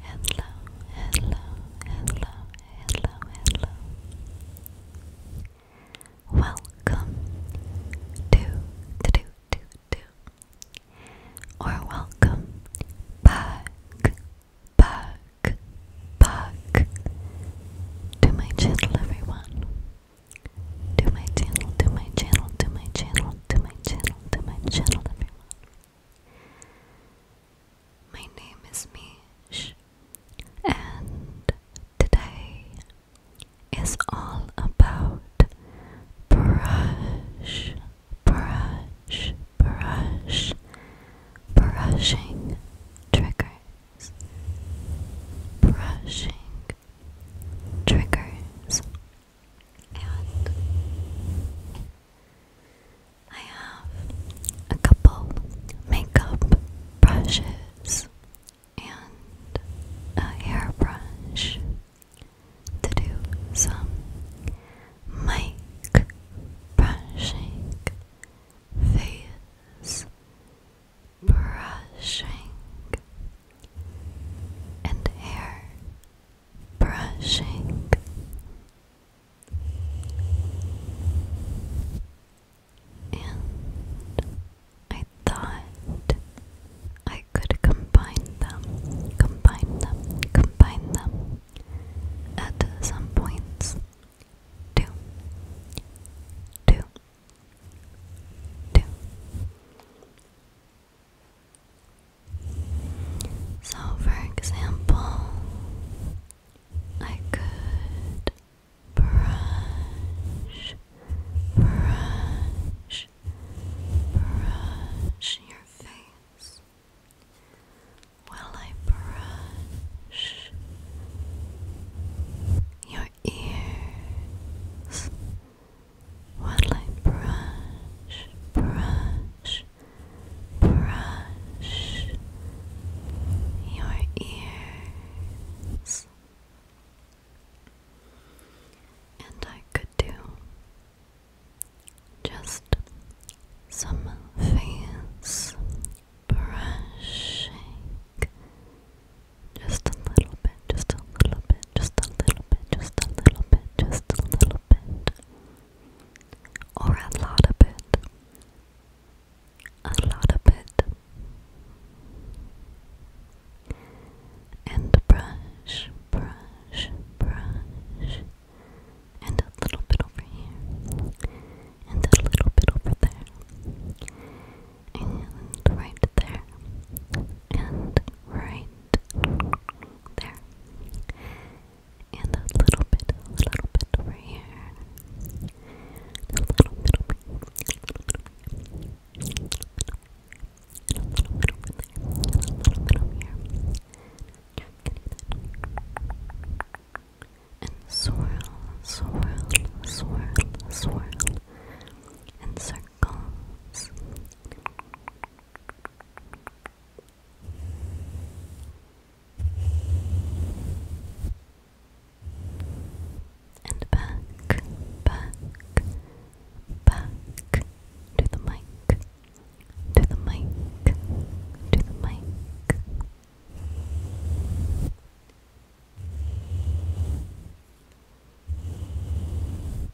Hello, hello, hello, hello, hello. Welcome to to do to or welcome back back back to my channel everyone to my channel, to my channel, to my channel, to my channel, to my channel, everyone. My name is Mish, and today is all about brush, brush, brush, brushing triggers, brushing triggers, and I have a couple makeup brushes and a hairbrush to do some mic brushing, face brushing and hair brushing. And I thought I could combine them, combine them, combine them at some points. Two, two, two, so, for example, I could brush, brush, brush your face. While I brush your ears, what like brush, brush, brush your ears, and I could do just some face brushing. Just a little bit, just a little bit, just a little bit, just a little bit, just a little bit. Or a lot of it. A lot of it. And brush, brush, brush. And a little bit over here. And a little bit over there and right there, and right there, and a little bit, a little bit over here, a little bit a little bit, a little bit, over there, a little bit here. And swirl, swirl, swirl, swirl, in circles, and back, back, back to the mic, to the mic, to the mic.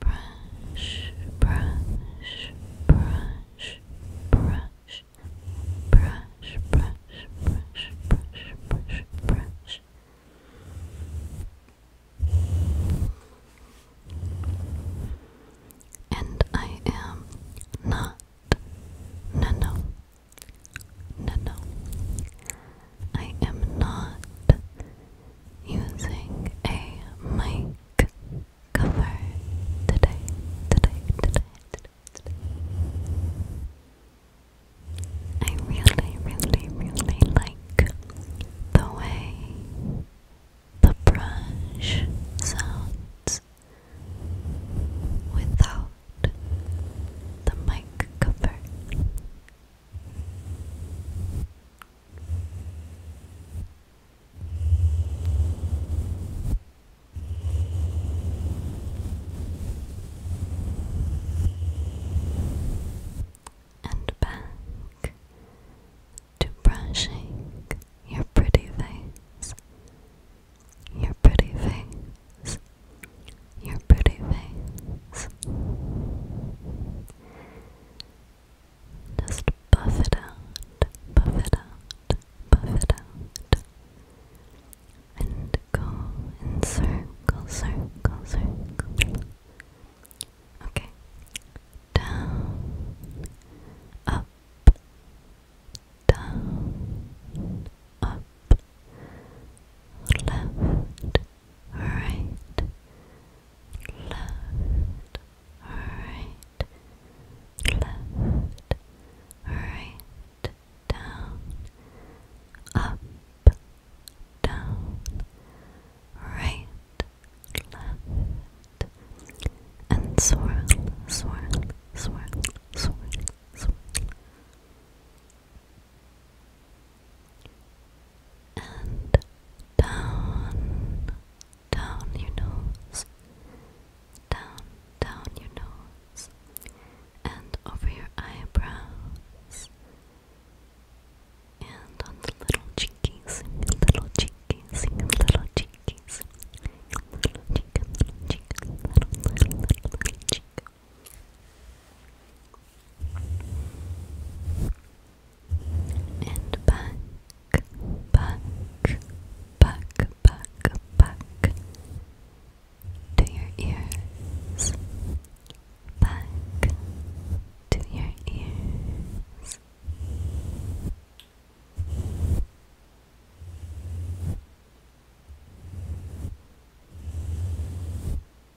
brush, brush, brush, brush, brush, brush, brush, brush, brush, brush. And I am not, no, no, no, no, I am not using a mic cover today, today, today, today, I really, really, really like the way the brush sounds without the mic cover and back to brushing your pretty face, your pretty face your pretty face. Just buff it out, buff it out, buff it out. And go in circle, circle, circle. Okay. Down, up, down, up, left, right, left, right, left, right, down, up, down, right, left, and swirl, swirl, swirl, swirl, swirl and down, down your nose, down, down your nose, and over your eyebrows, and on the little cheekies, little cheekies, little cheekies, little cheek, little little, little, little cheek and back, back, back, back, back to your ears, back to your ears.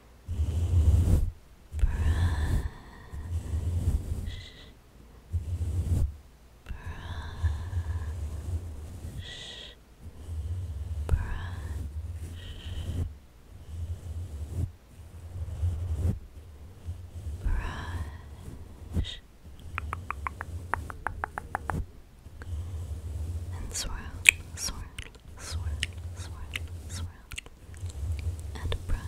brush, and swirl, swirl, swirl, swirl, swirl, around and brush.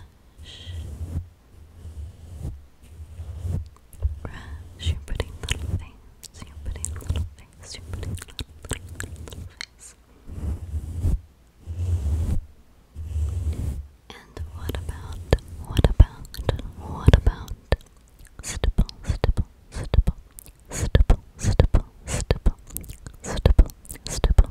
Brush your pretty little face, your pretty little face, your pretty little, little, And what about, what about, what about stipple, stipple, stipple, stipple, stipple, stipple, stipple, stipple,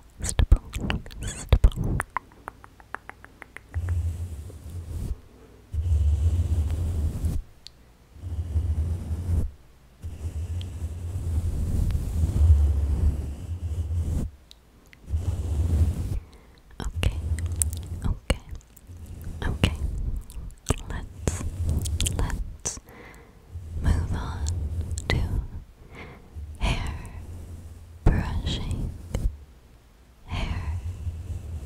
stipple, Okay, okay, okay. Let's let's move on to hair brushing, hair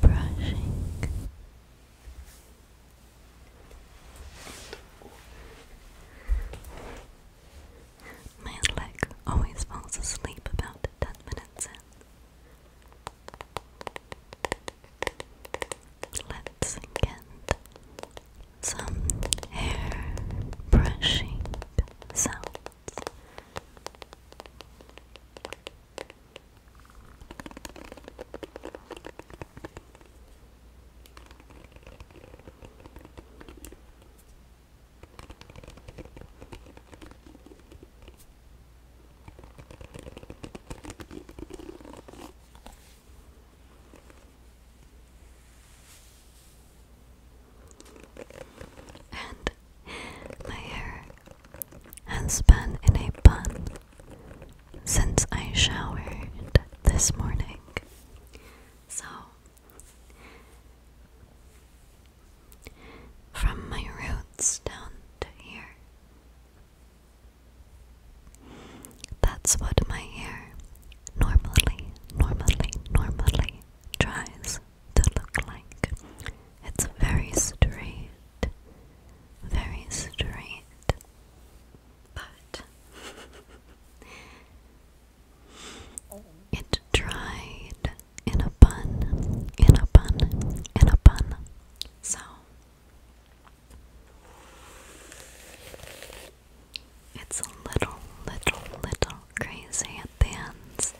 brushing. My leg always falls asleep about 10 minutes in. Let's get some hair brushing sounds and my hair has been in a bun since I showered this morning. So, from my roots down to here, that's what my hair normally, normally, normally tries to look like. It's very straight, very straight, but it dried in a bun, in a bun, in a bun. So it's a little, little, little crazy at the ends.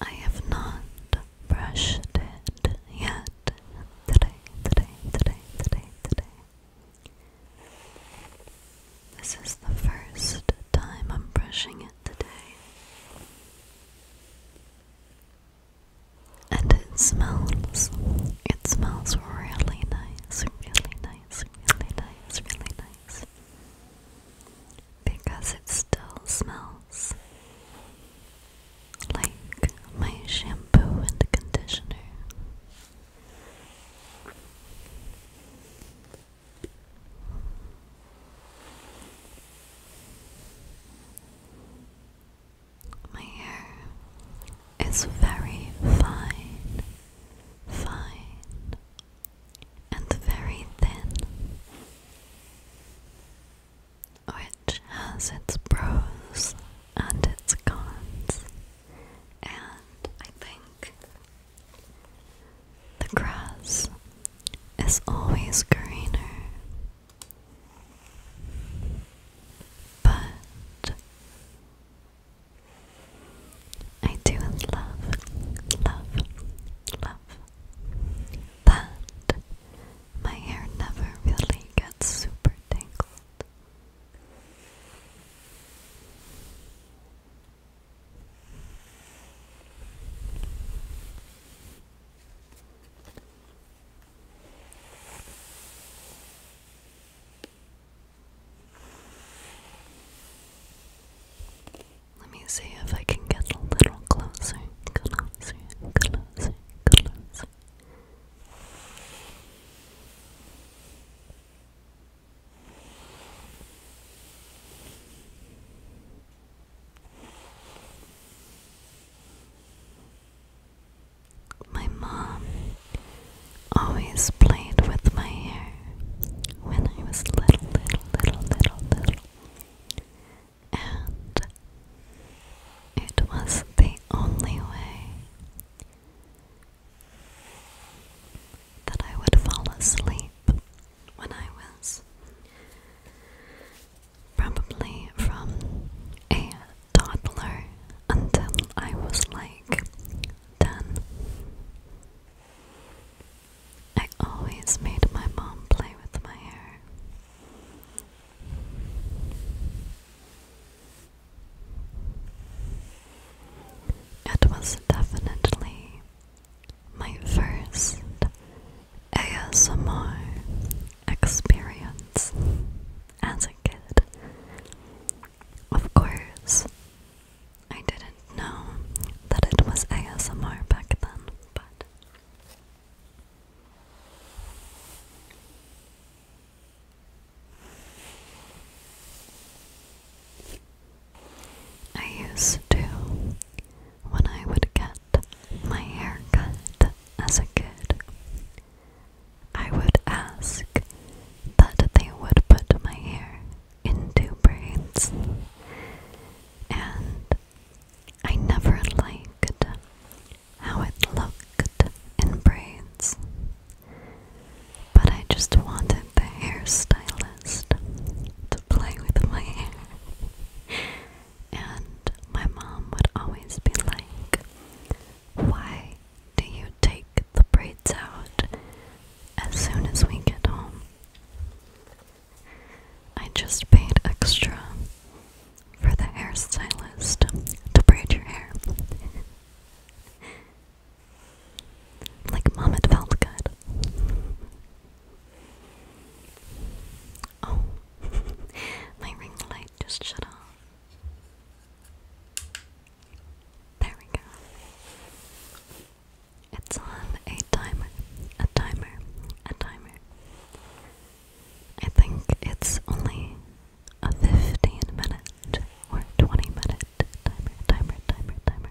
I have not brushed yet today, today, today, today, today. This is the first time I'm brushing it today. And it smells. It smells really nice, really nice, really nice, really nice. Because it still smells like my shampoo and conditioner. My hair is very fine, fine, and very thin, which has its pros and its cons and I think the grass is always greener, but I do love, love, love that my hair never really gets super tangled. Let me see if I can get a little closer, closer, closer, closer. My mom always played with my hair when I was little, little, little, little, little. And it was the only way that I would fall asleep when I was probably from a toddler until I was like 10. I always made my mom play with my hair. It was definitely my first ASMR experience as a kid. Of course, I didn't know that it was ASMR back then, but. I used to, when I would get my hair cut as a kid, I would ask that they would put my hair into braids, and I never liked how it looked in braids. But I just wanted the hairstylist to play with my hair. And my mom would always be like, Why do you take the braids out as soon as we get home? I just paid extra for the hairstylist to braid your hair. like, mom, it felt good. Oh, my ring light just shut off. There we go. It's on a timer, a timer, a timer. I think it's only a 15 minute or 20 minute timer, timer, timer, timer.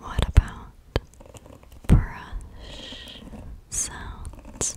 What about brush sounds?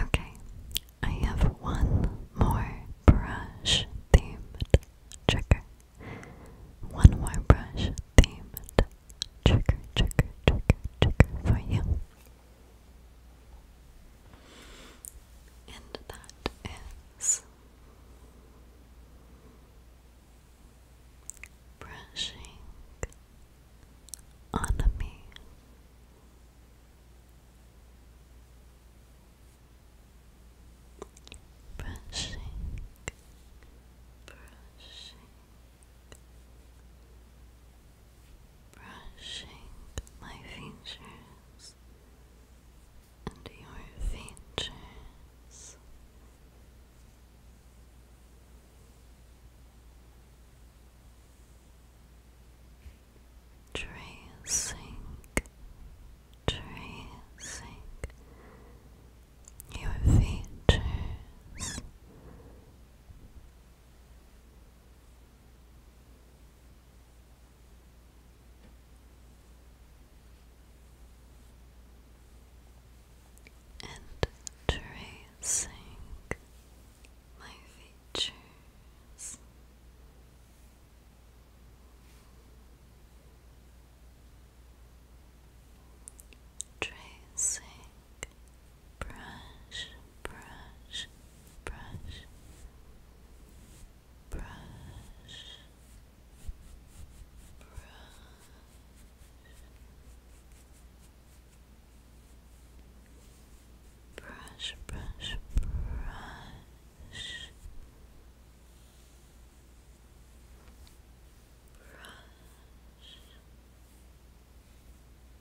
Okay, I have one more brush themed trigger. One more brush themed trigger, trigger, trigger, trigger for you. And that is brushing on me brushing, brushing, brushing my features and your features tracing, tracing your features. And tracing, my features. Tracing brush, brush, brush, brush, brush, brush, brush, brush, brush,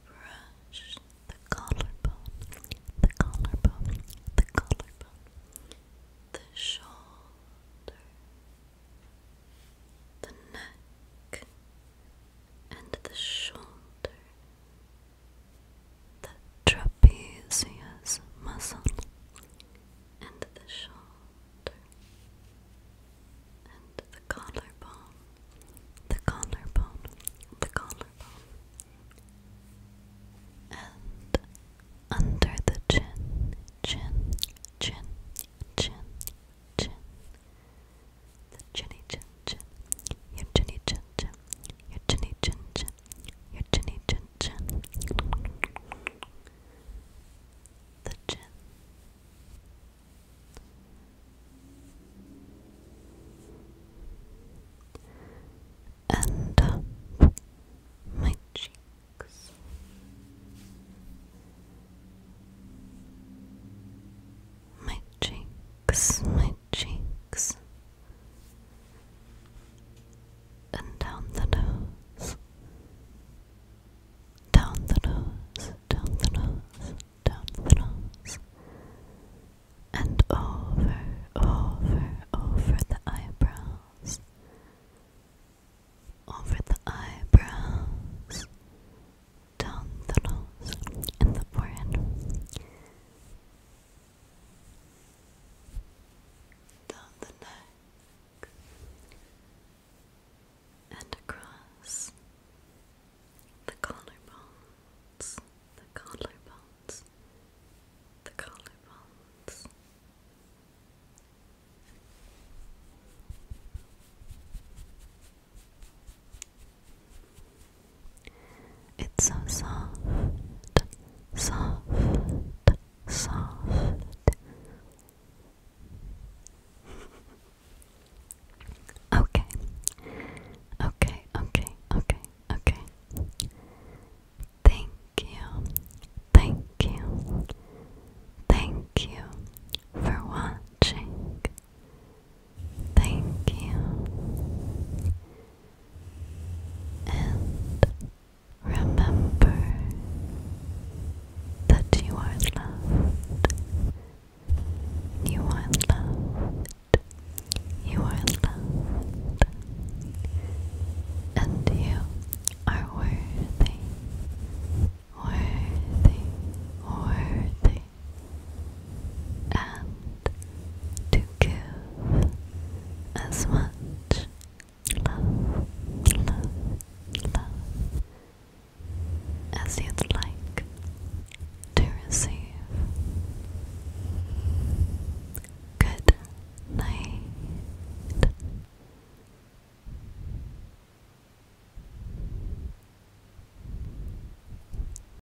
brush the collarbone, the collarbone, the collarbone, the shoulder, the neck, and the shoulder the trapezius muscle, and the shoulder, and the collarbone, the collarbone, the collarbone, and under the chin, chin, chin, chin, chin. Chinny chin chin, your chinny chin chin, your chinny chin chin, your chinny chin chin. The chin. And up my cheeks. My cheeks, my cheeks and down the nose, down the nose, down the nose, down the nose, and over, over, over the eyebrows, over the eyebrows. Down the nose and the forehead, down the neck and across the collarbones, the collarbones, the collarbones. It's so soft, soft, soft. Okay, okay, okay, okay, okay. Thank you, thank you, thank you for watching. Thank you. And remember that you are loved. You are loved. You are loved. And you are worthy, worthy, worthy and to give as much love, love, love as you'd like to receive. Good night.